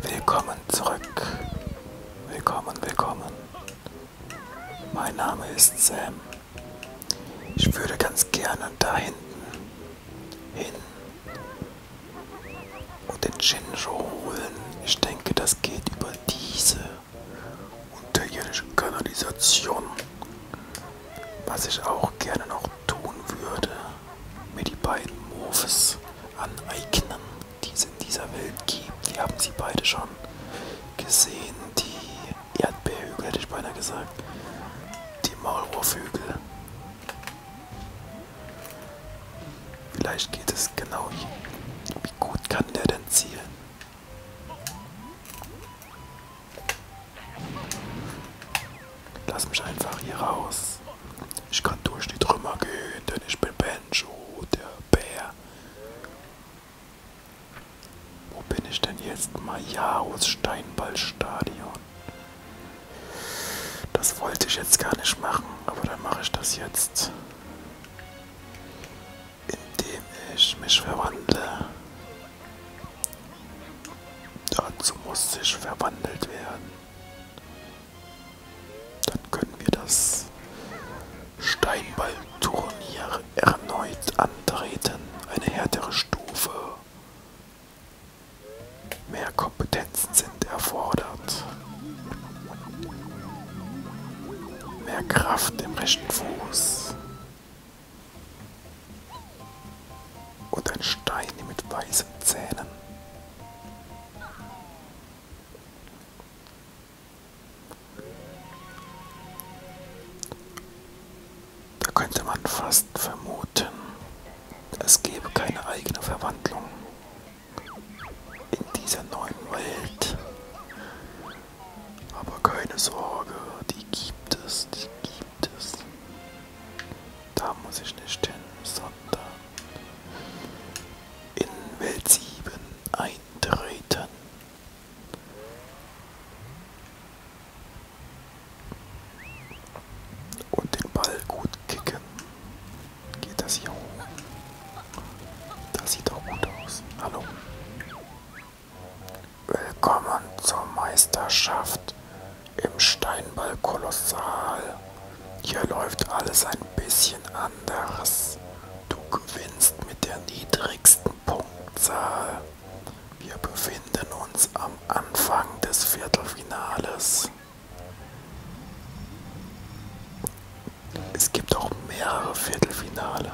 Willkommen zurück. Willkommen, willkommen. Mein Name ist Sam. Ich würde ganz gerne da hinten hin und den Shinjo holen. Ich denke, das geht über diese unterirdische Kanalisation. Was ich auch gerne noch tun würde mir die beiden Moves aneignen, die es in dieser Welt gibt. Wir haben sie beide schon gesehen. Die Erdbeerhügel hätte ich beinahe gesagt. Die Maulwurfhügel. Vielleicht geht es genau hier. Wie gut kann der denn zielen? Lass mich einfach hier raus. Ich kann durch die Trümmer gehen, denn ich bin Benjo, der Bär. Wo bin ich denn jetzt? Majaros Steinballstadion. Das wollte ich jetzt gar nicht machen, aber dann mache ich das jetzt. Indem ich mich verwandle. Dazu muss ich verwandelt werden. Dann können wir das Steinballturnier erneut antreten. Eine härtere Stufe. Mehr Kompetenzen sind erfordert. Mehr Kraft im rechten Fuß. Und ein Stein mit weißen Zähnen. Da könnte man fast vermuten, es gäbe keine eigene Verwandlung in dieser neuen Welt. Aber keine Sorge, die gibt es, die gibt es. Da muss ich nicht hin, sondern in Welt 7 eintreten. Und den Ball gut kicken. Geht das hier hoch? Das sieht doch gut aus. Hallo. Willkommen zur Meisterschaft im Steinball kolossal. Hier läuft alles ein bisschen anders. Du gewinnst mit der niedrigsten Punktzahl. Wir befinden uns am Anfang des Viertelfinales. Es gibt auch mehrere Viertelfinale.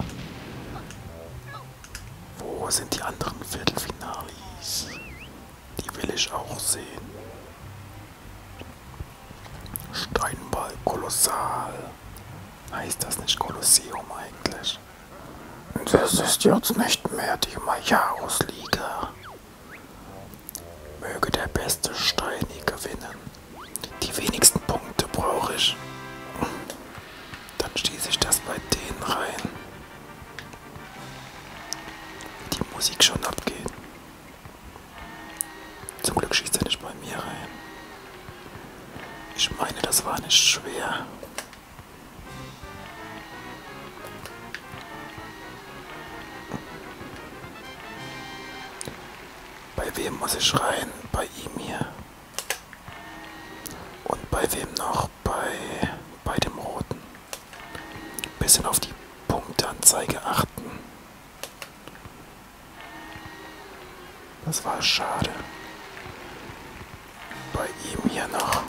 Wo sind die anderen Viertelfinalis? Die will ich auch sehen. Steinball kolossal. Heißt das nicht Kolosseum eigentlich? Das ist jetzt nicht mehr die Majarus-Liga. Möge der beste Steini gewinnen. Die wenigsten Punkte brauche ich. Dann schieße ich das bei denen rein die Musik schon abgeht. Zum Glück schießt er nicht bei mir rein. Ich meine, das war nicht schwer. Bei wem muss ich rein? Bei ihm hier. Und bei wem noch? Bei, bei dem Roten bisschen auf die Punktanzeige achten. Das war schade. Bei ihm hier noch.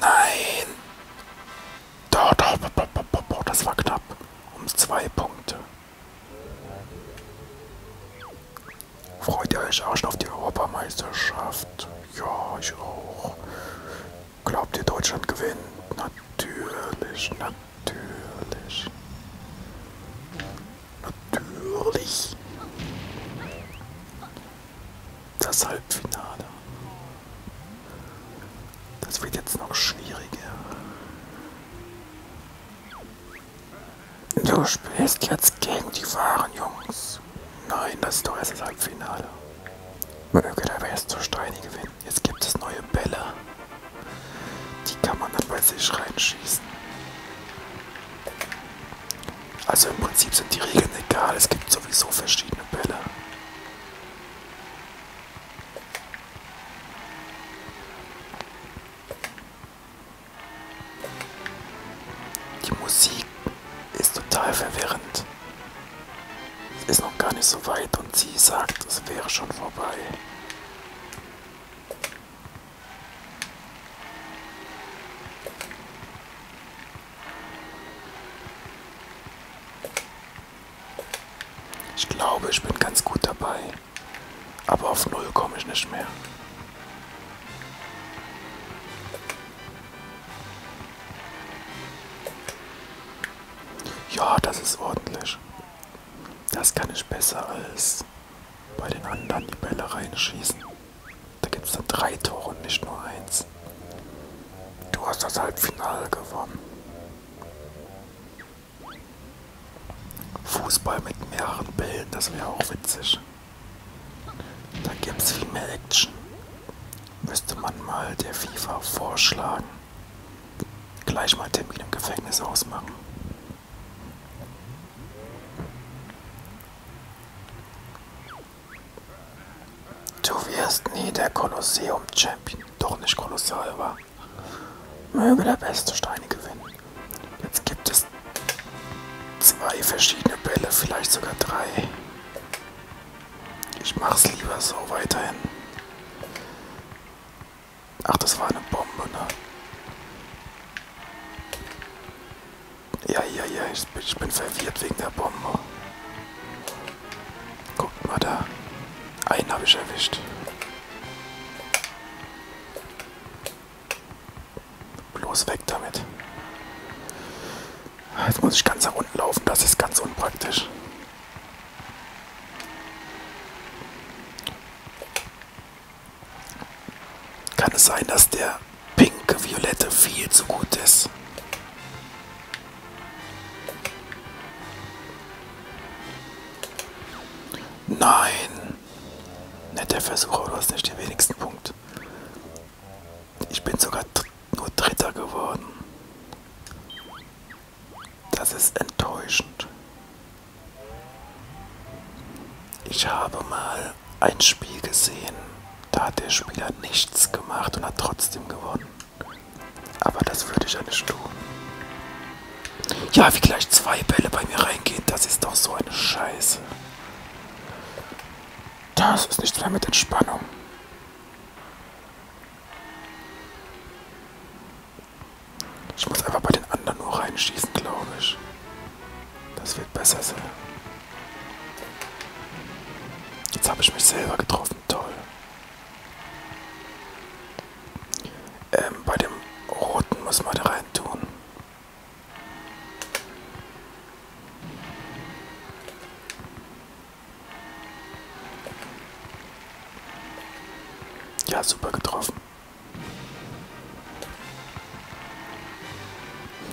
Nein! Da, da, da, da, das war knapp. Um zwei Punkte. Freut ihr euch auch schon auf die Europameisterschaft? Ja, ich auch. Glaubt ihr, Deutschland gewinnt? Natürlich, natürlich. Natürlich. Das Halbfinale. Das wird jetzt noch schwieriger. Du spielst jetzt gegen die wahren Jungs. Nein, das ist doch erst das Halbfinale. Möge der West zu Steini gewinnen. Jetzt gibt es neue Bälle. Die kann man dann bei sich reinschießen. Also im Prinzip sind die Regeln egal. Es gibt sowieso verschiedene Bälle. Die Musik ist total verwirrend. Es ist noch gar nicht so weit und sie sagt, es wäre schon vorbei. Ich glaube, ich bin ganz gut dabei. Aber auf Null komme ich nicht mehr. Ja, das ist ordentlich. Das kann ich besser als bei den anderen die Bälle reinschießen. Da gibt es dann drei Tore und nicht nur eins. Du hast das Halbfinale gewonnen. Fußball mit mehreren Bällen, das wäre auch witzig. Da gibt es viel mehr Action. Müsste man mal der FIFA vorschlagen. Gleich mal Termin im Gefängnis ausmachen. Du wirst nie der Kolosseum-Champion, doch nicht kolossal war. Möge der beste Steine gewinnen. Jetzt gibt es zwei verschiedene Bälle, vielleicht sogar drei. Ich mach's lieber so weiterhin. Ach, das war eine Bombe, ne? Ja, ja, ja, ich bin, ich bin verwirrt wegen der Bombe. Guckt mal da. Einen habe ich erwischt. Bloß weg damit. Jetzt muss ich ganz nach unten laufen, das ist ganz unpraktisch. Kann es sein, dass der pinke Violette viel zu gut ist? Nein. Netter Versuch, aber du hast nicht den wenigsten Punkt. Ich bin sogar nur Dritter geworden. Das ist enttäuschend. Ich habe mal ein Spiel gesehen, da hat der Spieler nichts gemacht und hat trotzdem gewonnen. Aber das würde ich ja nicht tun. Ja, wie gleich zwei Bälle bei mir reingehen, das ist doch so eine Scheiße. Das ist nicht mehr mit Entspannung. Ich muss einfach bei den anderen nur reinschießen, glaube ich. Das wird besser sein. Jetzt habe ich mich selber getroffen, toll. Ähm, bei dem roten muss man da rein tun. Ja, super getroffen.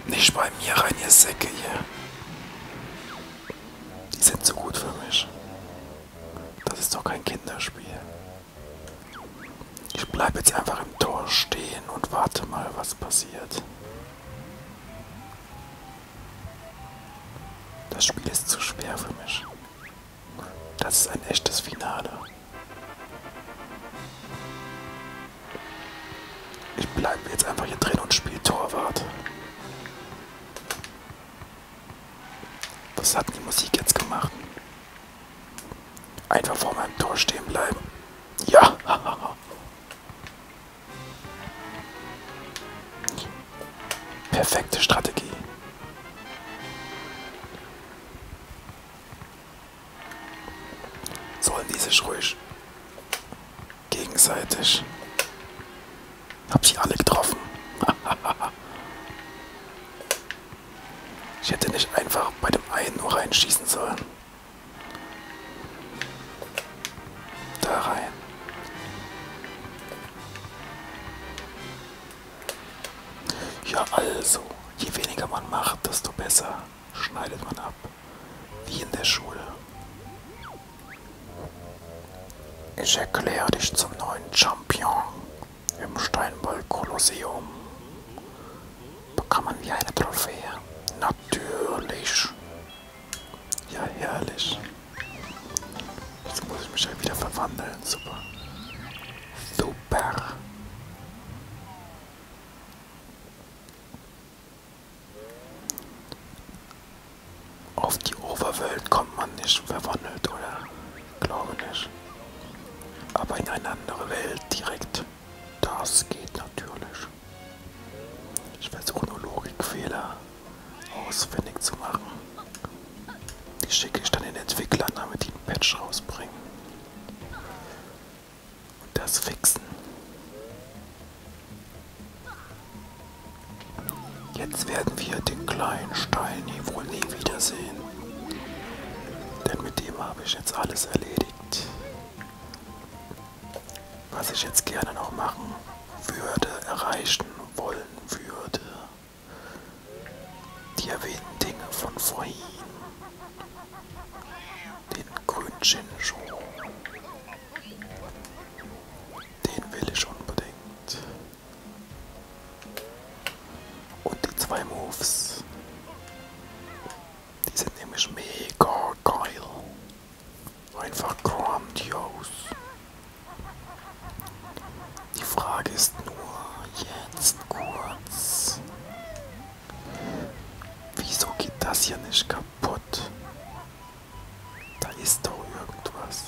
Nicht bei mir rein, ihr Säcke hier. Die sind zu gut für mich. Das ist doch kein Kinderspiel. Ich bleibe jetzt einfach im Tor stehen und warte mal, was passiert. Das Spiel ist zu schwer für mich. Das ist ein echtes Finale. Ich bleibe jetzt einfach hier drin und spiele Torwart. Was hat die Musik jetzt gemacht? Einfach vor meinem Tor stehen bleiben. Ja. Perfekte Strategie. Sollen die sich ruhig gegenseitig. Hab sie alle getroffen. Ich hätte nicht einfach bei dem einen nur reinschießen sollen. Da rein. Ja, also, je weniger man macht, desto besser schneidet man ab. Wie in der Schule. Ich erkläre dich zum neuen Champion. Im Steinboll Kolosseum bekommen wir eine Trophäe. Natürlich. Ja, herrlich. Jetzt muss ich mich ja wieder verwandeln. Super. Super. Auf die Oberwelt kommt man nicht verwandelt, oder? Glaube nicht. Aber in eine andere Welt direkt. Das geht natürlich. Ich versuche nur Logikfehler ausfindig zu machen. Die schicke ich dann den Entwicklern, damit die einen Patch rausbringen. Und das fixen. Jetzt werden wir den kleinen Stein hier wohl nie wiedersehen. Denn mit dem habe ich jetzt alles erledigt. Was ich jetzt gerne noch machen würde, erreichen wollen würde. Die erwähnten Dinge von vorhin. Den grünen Shinshu. Den will ich unbedingt. Und die zwei Moves. Die sind nämlich mega geil. Einfach grandios. Die Frage ist nur jetzt kurz. Wieso geht das hier nicht kaputt? Da ist doch irgendwas.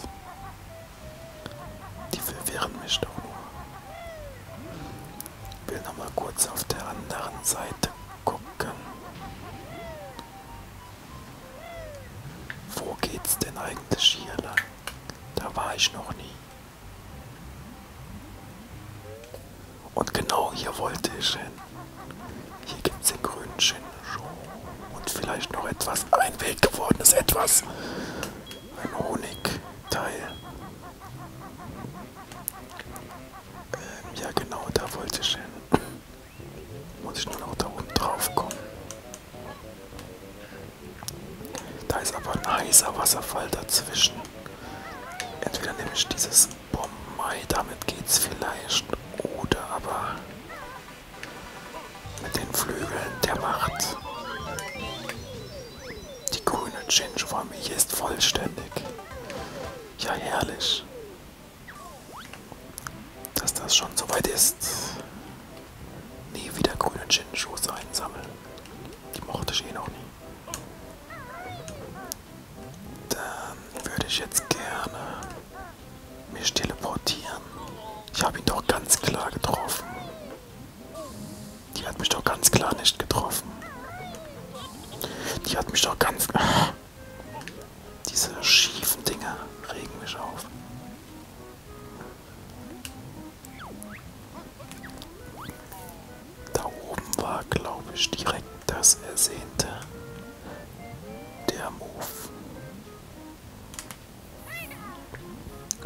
Die verwirren mich doch nur. Will nochmal kurz auf der anderen Seite gucken. Wo geht's denn eigentlich hier lang? Da war ich noch nie. Und genau hier wollte ich hin. Hier gibt es den grünen Shinjo. Und vielleicht noch etwas, ein Weg gewordenes etwas ein Honigteil. Ähm, ja genau, da wollte ich hin. Muss ich nur noch da oben drauf kommen. Da ist aber ein heißer Wasserfall dazwischen. Entweder nehme ich dieses Bombay, damit geht's vielleicht. Oder aber mit den Flügeln der Macht. Die grüne Ginge-Familie ist vollständig. Ja, herrlich. Dass das schon soweit ist. Nie wieder grüne Ginge-Schuss einsammeln. Die mochte ich eh noch nie. Dann würde ich jetzt gerne mich teleportieren. Ich habe ihn doch ganz klar getroffen. Die hat mich doch ganz klar nicht getroffen. Die hat mich doch ganz... Ah. Diese schiefen Dinger regen mich auf. Da oben war, glaube ich, direkt das Ersehnte. Der Move.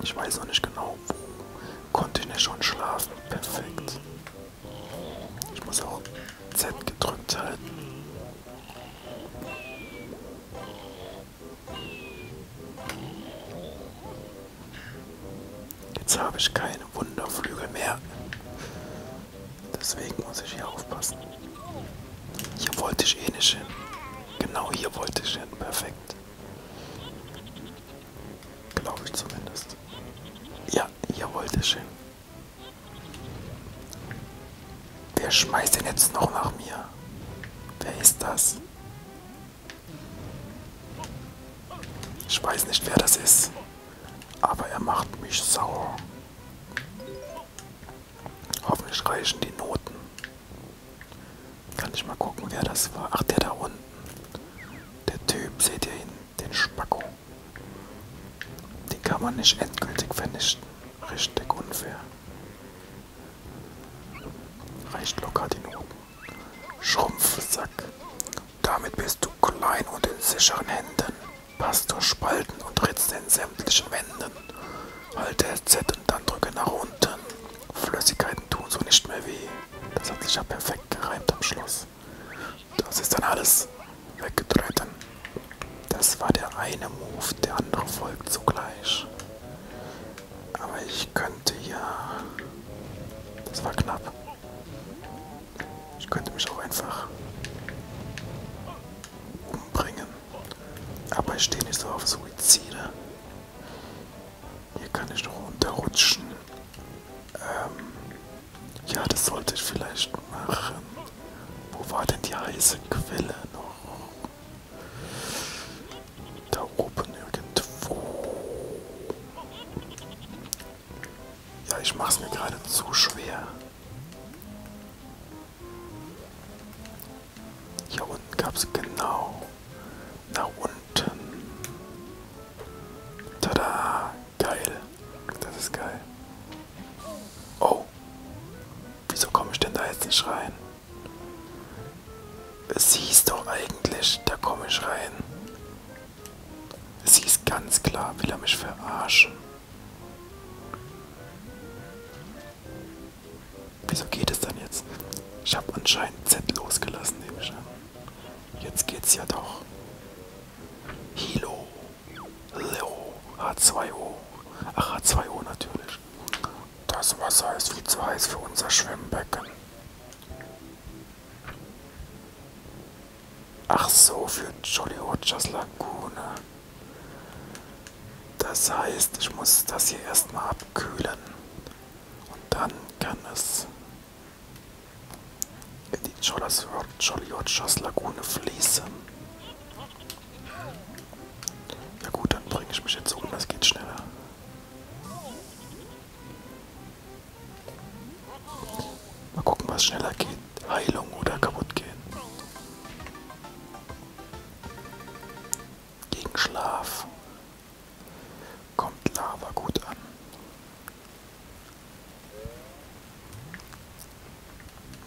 Ich weiß noch nicht genau, wo. Konnte ich nicht schon schlafen? Perfekt. Ich muss auch Z gedrückt halten. Jetzt habe ich keine Wunderflügel mehr. Deswegen muss ich hier aufpassen. Hier wollte ich eh nicht hin. Genau hier wollte ich hin. Perfekt perfekt. Glaube ich zumindest. Ja, jawohl, sehr schön. Wer schmeißt denn jetzt noch nach mir? Wer ist das? Ich weiß nicht, wer das ist. Aber er macht mich sauer. Hoffentlich reichen die Noten. Kann ich mal gucken, wer das war. Ach, der da unten. Der Typ, seht ihr ihn? Den Spacko. Den kann man nicht endgültig vernichten. Richtig unfair. Reicht locker die Noten. Schrumpfsack. Damit bist du klein und in sicheren Händen. Passt durch Spalten und ritzt in sämtlichen Wänden. Halte Z und dann drücke nach unten. Flüssigkeiten tun so nicht mehr weh. Das hat sich ja perfekt gereimt am Schluss. Das ist dann alles weggetreten. Das war der eine Move, der andere folgt sogleich. Aber ich könnte ja... Das war knapp. Ich könnte mich auch einfach umbringen. Aber ich stehe nicht so auf Suizide. Hier kann ich noch runterrutschen. Ähm, ja, das sollte ich vielleicht machen. Wo war denn die heiße Quelle noch? Da oben irgendwo. Ja, ich mach's mir gerade zu schwer. Hier unten gab es genau nach unten. Tada! Geil. Das ist geil. Oh. Wieso komme ich denn da jetzt nicht rein? Es hieß doch eigentlich, da komme ich rein. Es hieß ganz klar, will er mich verarschen. Wieso geht es dann jetzt? Ich habe anscheinend Z losgelassen, nehme ich an. Jetzt geht's ja doch. Hilo. Leo. H2O. Ach, H2O natürlich. Das Wasser ist viel zu heiß für unser Schwimmbecken. Ach so, für Jolly Rogers Lagune. Das heißt, ich muss das hier erstmal abkühlen und dann kann es in die Jolly Lagune fließen. Ja gut, dann bringe ich mich jetzt um, das geht schneller. Mal gucken, was schneller geht. Heilung oder kaputt gehen. Gegen Schlaf kommt Lava gut an.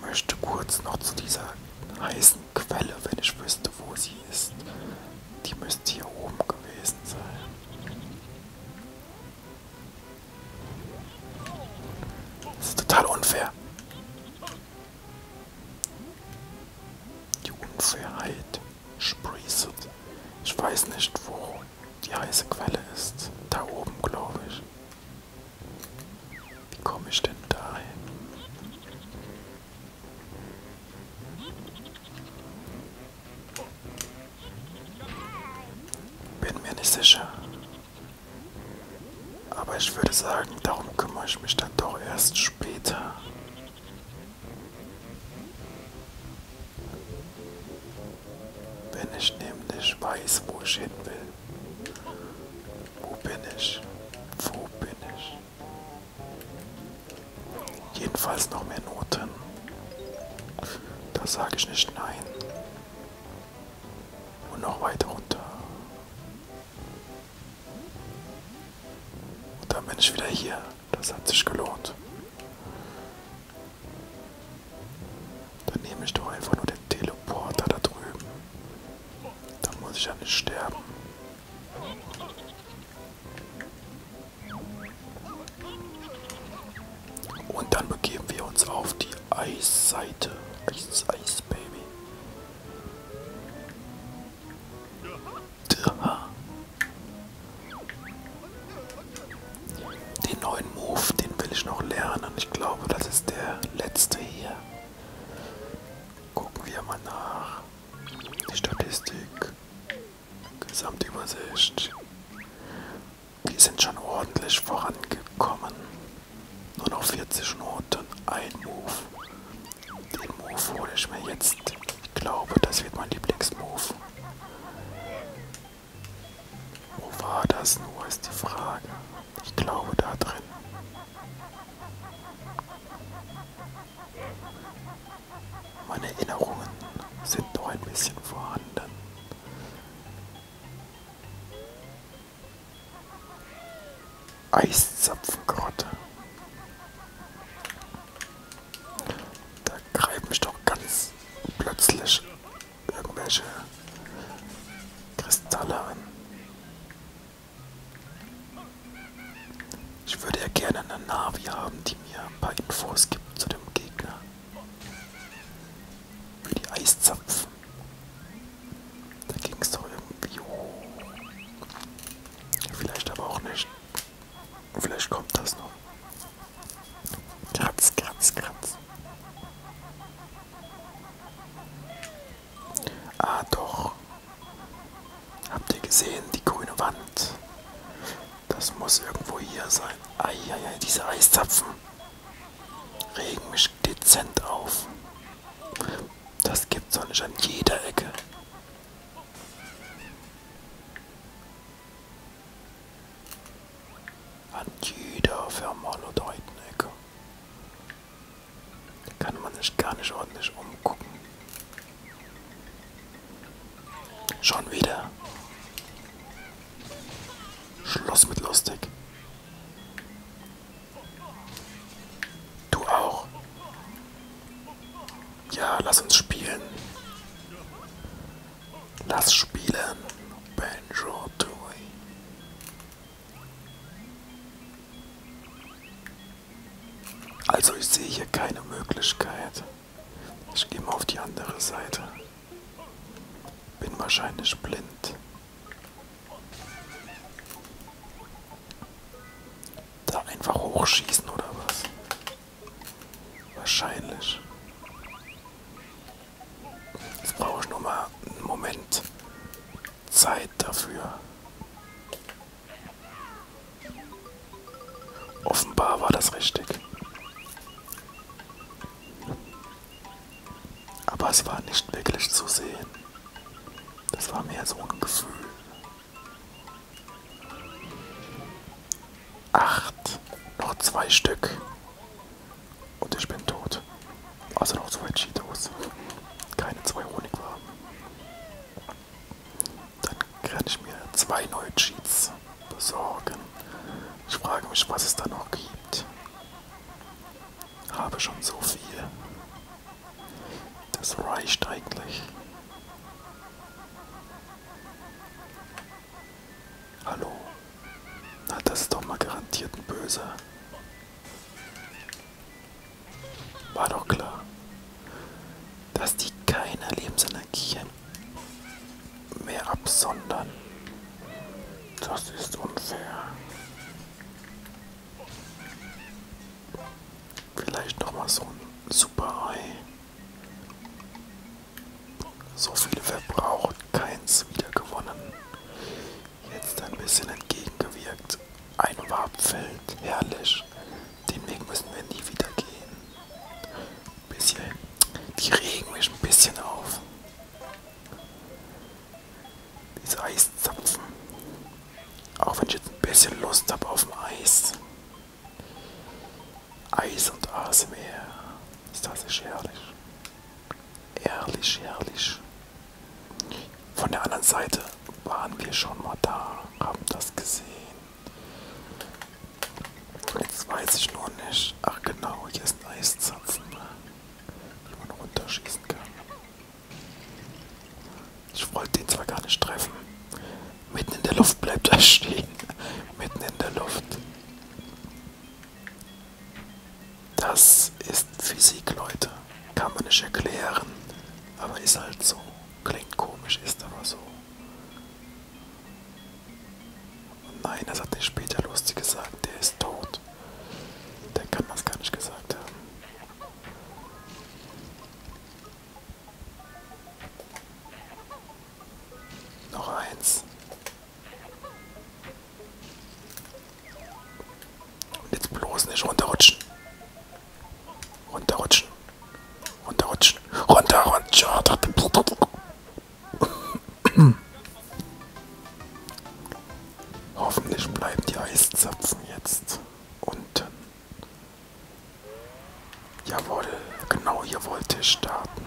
Möchte kurz noch zu dieser heißen Quelle, wenn ich wüsste, wo sie ist. Die müsste hier oben gewesen sein. Das ist total unfair. Die Unfairheit sprießet. Ich weiß nicht, wo die heiße Quelle ist. Da oben, glaube ich. Wie komme ich denn dahin? Bin mir nicht sicher. Aber ich würde sagen, darum kümmere ich mich dann doch erst später. Wenn ich nämlich weiß, wo ich hin will. Wo bin ich? Wo bin ich? Jedenfalls noch mehr Noten. Da sage ich nicht nein. Und noch weiter runter. Und dann bin ich wieder hier. Das hat sich gelohnt. Dann nehme ich doch einfach nur den Teleporter da drüben. Da muss ich ja nicht sterben. Und dann begeben wir uns auf die Eisseite. Eis, Eis, Baby. Den neuen Move, den will ich noch lernen. Ich glaube, das ist der letzte hier. Gucken wir mal nach. Die Statistik. Gesamtübersicht. Die sind schon ordentlich vorangekommen. Nur noch 40 Noten, ein Move. Den Move hole ich mir jetzt. Ich glaube, das wird mein Lieblingsmove. Wo war das nur, ist die Frage. Ich glaube, da drin. Meine Erinnerungen sind noch ein bisschen vorhanden. Eiszapfengrotte. Da greifen mich doch ganz plötzlich irgendwelche Kristalle an. Ich würde ja gerne eine Navi haben, die mir ein paar Infos gibt zu dem Gegner. Wie die Eiszapfen. Da ging es doch irgendwie hoch. Vielleicht aber auch nicht. Vielleicht kommt das noch. Kratz, kratz, kratz. Ah doch. Habt ihr gesehen, die grüne Wand? Das muss irgendwo hier sein. Eieiei, diese Eiszapfen regen mich dezent auf. Das gibt's doch nicht an jeder Ecke. An jeder vermaledeiten Ecke. Da kann man sich gar nicht ordentlich umgucken. Schon wieder. Schluss mit lustig. Du auch. Ja, lass uns spielen. Lass spielen. Banjo Tui. Also ich sehe hier keine Möglichkeit. Ich gehe mal auf die andere Seite. Bin wahrscheinlich blind. Da einfach hochschießen oder was? Wahrscheinlich. Jetzt brauche ich nur mal einen Moment Zeit dafür. Offenbar war das richtig. Aber es war nicht wirklich zu sehen. Das war mehr so ein Gefühl. Acht. Noch zwei Stück. Und ich bin tot. Also noch zwei Cheetos. Keine zwei Honigwaben. Dann kann ich mir zwei neue Cheats besorgen. Ich frage mich, was es da noch gibt habe schon so viel. Das reicht eigentlich. Hallo. Na, das ist doch mal garantiert ein Böser. War doch klar, dass die keine Lebensenergie mehr absondern. Das ist unfair. Vielleicht nochmal so ein Super Ei. So viele verbraucht, keins wieder gewonnen. Jetzt ein bisschen entgegengewirkt. Ein Warpfeld, herrlich. Den Weg müssen wir nie wieder gehen. Bisschen. Die regen mich ein bisschen auf. Diese Eiszapfen. Auch wenn ich jetzt ein bisschen Lust habe auf ein Eis. Eis und ASMR. Ist das nicht herrlich? Herrlich, herrlich. Von der anderen Seite waren wir schon mal da, haben das gesehen. Jetzt weiß ich nur nicht. Ach genau, hier ist ein Eiszapfen die man runterschießen kann. Ich wollte den zwar gar nicht treffen. Mitten in der Luft bleibt er stehen. Mitten in der Luft. Das ist Physik, Leute. Kann man nicht erklären. Aber ist halt so. Klingt komisch, ist aber so. Und nein, das hat der später lustig gesagt. Der ist tot. Der kann das gar nicht gesagt haben. Noch eins. Und jetzt bloß nicht runterrutschen. Runterrutschen. Runterrutschen. Runterrutschen. Oh, Hoffentlich bleiben die Eiszapfen jetzt unten. Jawohl, genau hier wollte ich starten.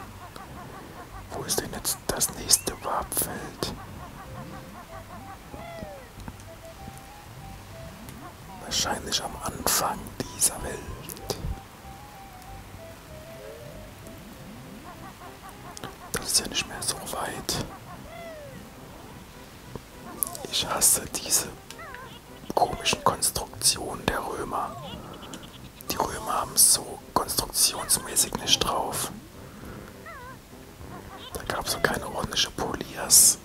Wo ist denn jetzt das nächste Warpfeld? Wahrscheinlich am Anfang dieser Welt. Das ist ja nicht mehr so weit. Ich hasse diese komischen Konstruktionen der Römer. Die Römer haben es so konstruktionsmäßig nicht drauf. Da gab es so keine ordentliche Polias,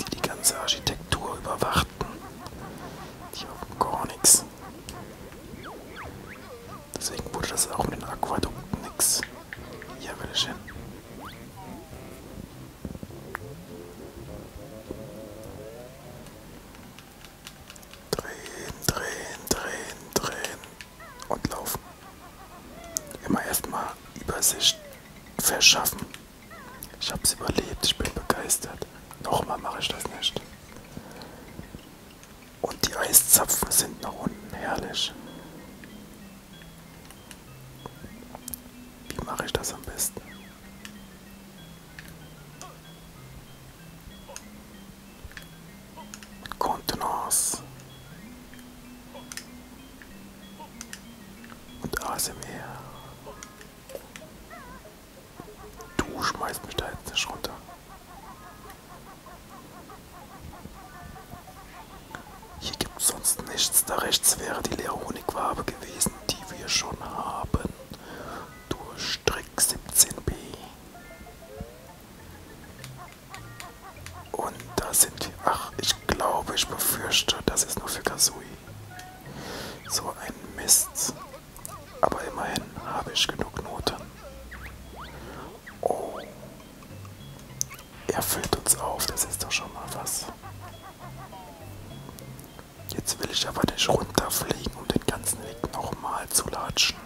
die die ganze Architektur überwachten. Die haben gar nichts. Deswegen wurde das auch mit den Aquädukten nix. Hier, bitteschön. Drehen, drehen, drehen, drehen und laufen. Immer erstmal Übersicht verschaffen. Ich hab's überlebt, ich bin begeistert. Nochmal mache ich das nicht. Und die Eiszapfen sind nach unten herrlich. Wie mache ich das am besten? Mit Contenance. Und ASMR. Du schmeißt mich da jetzt nicht runter. Hier gibt es sonst nichts, da rechts wäre die leere Honigwabe gewesen, die wir schon haben. Durch Strick 17b. Und da sind wir. Ach, ich glaube, ich befürchte, das ist nur für Kasui. So ein Mist. Aber immerhin habe ich genug Noten. Oh. Er füllt uns auf, das ist doch schon mal was. Jetzt will ich aber nicht runterfliegen, um den ganzen Weg nochmal zu latschen.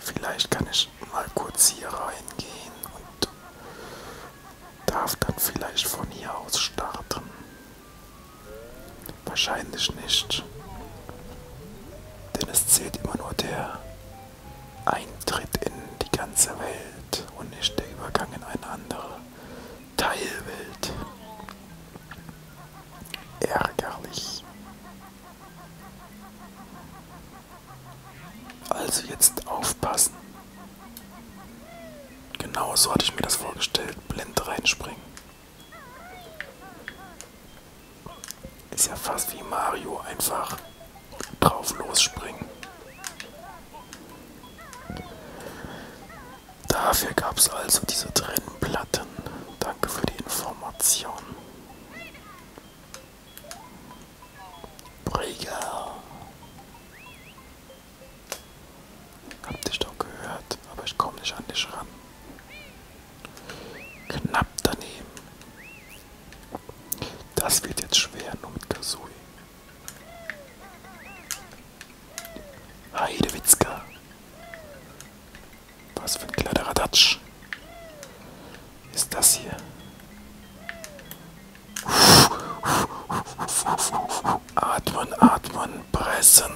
Vielleicht kann ich mal kurz hier reingehen und darf dann vielleicht von hier aus starten. Wahrscheinlich nicht. Denn es zählt immer nur der Eintritt in die ganze Welt und nicht der Übergang in eine andere Teilwelt. Ärgerlich. Also jetzt aufpassen. Genau so hatte ich mir das vorgestellt. Blind reinspringen. Ist ja fast wie Mario, einfach drauf losspringen. Dafür gab es also diese Trennplatten. Danke für die Information. Brigger. Hab dich doch gehört, aber ich komme nicht an dich ran. Knapp daneben. Das wird jetzt schwer, nur mit Kasui. Heidewitzka. Was für ein kleiner Radatsch. Ist das hier? Atmen, atmen, pressen.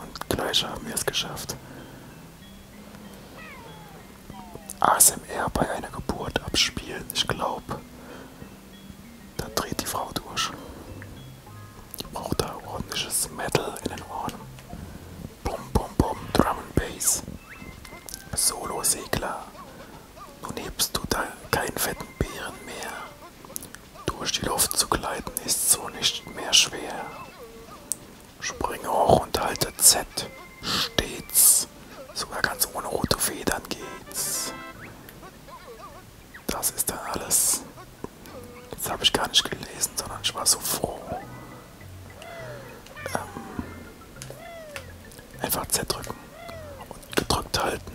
Und gleich haben wir es geschafft. ASMR bei einer Geburt abspielen, ich glaube. Da dreht die Frau durch. Die braucht da ordentliches Metal in den Ohren. Bum, bum, bum, Drum and Bass. Solo-Segler. Nun hebst du da keinen fetten Bären mehr. Durch die Luft zu gleiten ist so nicht mehr schwer. Springe hoch und halte Z stets. Sogar ganz ohne rote Federn geht's. Das ist dann alles. Das habe ich gar nicht gelesen, sondern ich war so froh. Ähm, einfach Z drücken und gedrückt halten.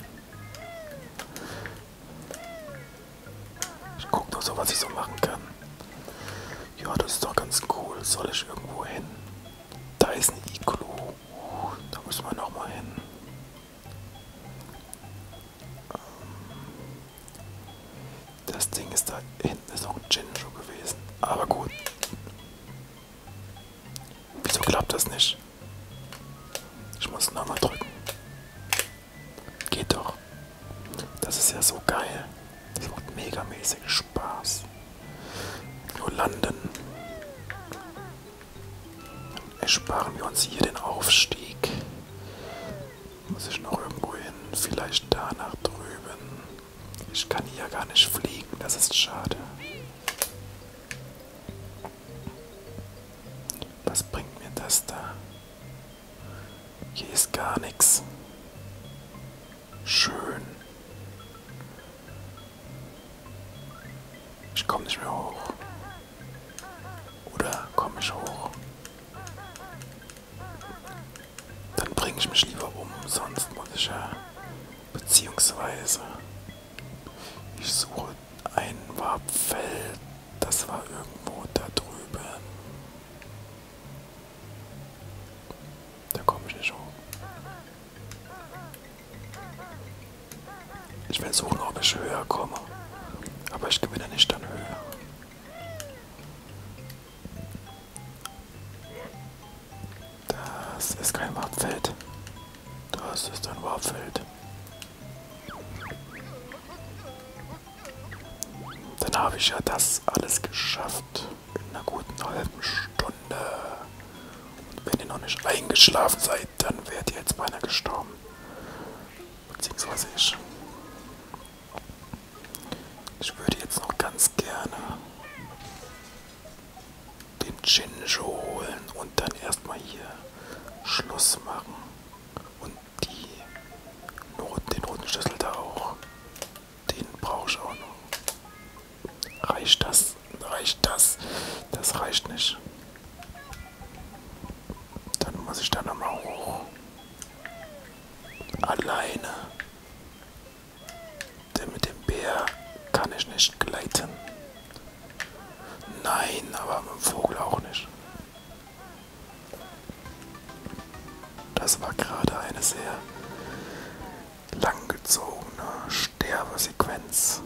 Ich guck nur so, was ich so machen kann. Ja, das ist doch ganz cool. Soll ich irgendwo hin? Da ist ein Iglu. Uh, da müssen wir nochmal hin. Ähm, das Ding ist da hinten ist noch ein Jinjo gewesen. Aber gut. Wieso klappt das nicht? Ich muss nochmal drücken. Geht doch. Das ist ja so geil. Das macht megamäßig Spaß. Nur landen. Dann ersparen wir uns hier den Aufstieg. Muss ich noch irgendwo hin? Vielleicht da nach drüben. Ich kann hier gar nicht fliegen, das ist schade. Was bringt mir das da? Hier ist gar nichts. Schön. Ich komme nicht mehr hoch. Oder komme ich hoch? Dann bringe ich mich lieber um, sonst muss ich ja. Beziehungsweise. Ich suche ein Wabfeld. Das war irgendwo da drüben. Da komme ich nicht hoch. Ich will suchen, ob ich höher komme. Aber ich gewinne nicht an Höhe. Das ist kein Warpfeld. Das ist ein Warpfeld. Dann habe ich ja das alles geschafft in einer guten halben Stunde. Und wenn ihr noch nicht eingeschlafen seid, dann wärt ihr jetzt beinahe gestorben. Beziehungsweise ich. Ich würde jetzt noch ganz gerne den Jinjo holen und dann erstmal hier Schluss machen. Und die Not, den roten Schlüssel da auch. Den brauche ich auch noch. Reicht das? Reicht das? Das reicht nicht. Dann muss ich da nochmal hoch. Alleine. Denn mit dem Bär kann ich nicht gleiten. Nein, aber mit dem Vogel auch nicht. Das war gerade eine sehr langgezogene Sterbesequenz.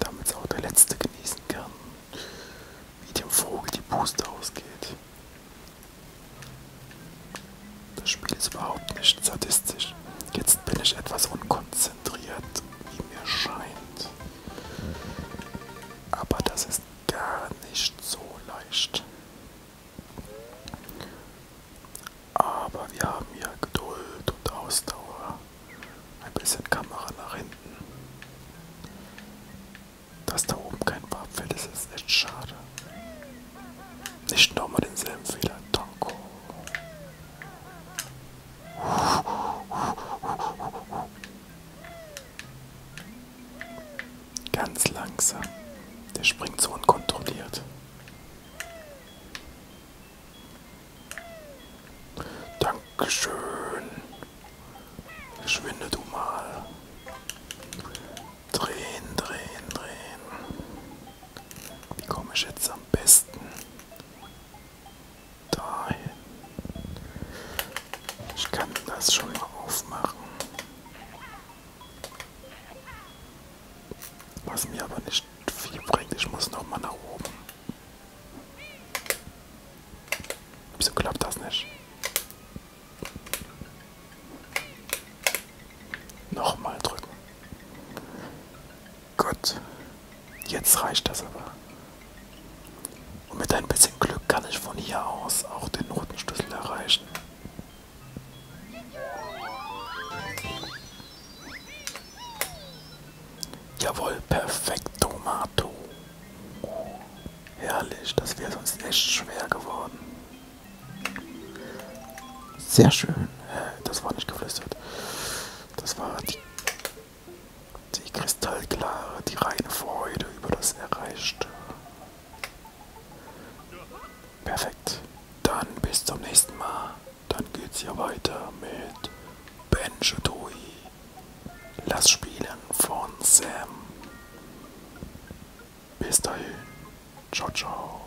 Damit es auch der Letzte genießen kann, wie dem Vogel die Puste ausgeht. Das Spiel ist überhaupt nicht sadistisch. Jetzt bin ich etwas unkonzentriert, wie mir scheint aber das ist gar nicht so leicht. Aber wir haben hier Geduld und Ausdauer. Ein bisschen Kamera nach hinten. Dass da oben kein Barpferd ist, ist echt schade. Nicht nochmal denselben Fehler. Danko. Ganz langsam. Der springt so unkontrolliert. Dankeschön. Verschwinde du mal. Drehen, drehen, drehen. Wie komme ich jetzt am besten dahin. Ich kann das schon mal aufmachen. Was mir aber nicht viel bringt, ich muss nochmal nach oben. Wieso klappt das nicht? Nochmal drücken. Gott, jetzt reicht das aber. Und mit ein bisschen Glück kann ich von hier aus auch den Notenschlüssel erreichen. Jawohl, perfekt, Tomato. Herrlich, das wäre sonst echt schwer geworden. Sehr schön. Das war nicht geflüstert. Das war die die kristallklare, die reine Freude über das Erreichte. Perfekt. Dann bis zum nächsten Mal. Dann geht's hier weiter mit Benjutui. Lass spielen von Sam. Bis dahin. Ciao, ciao.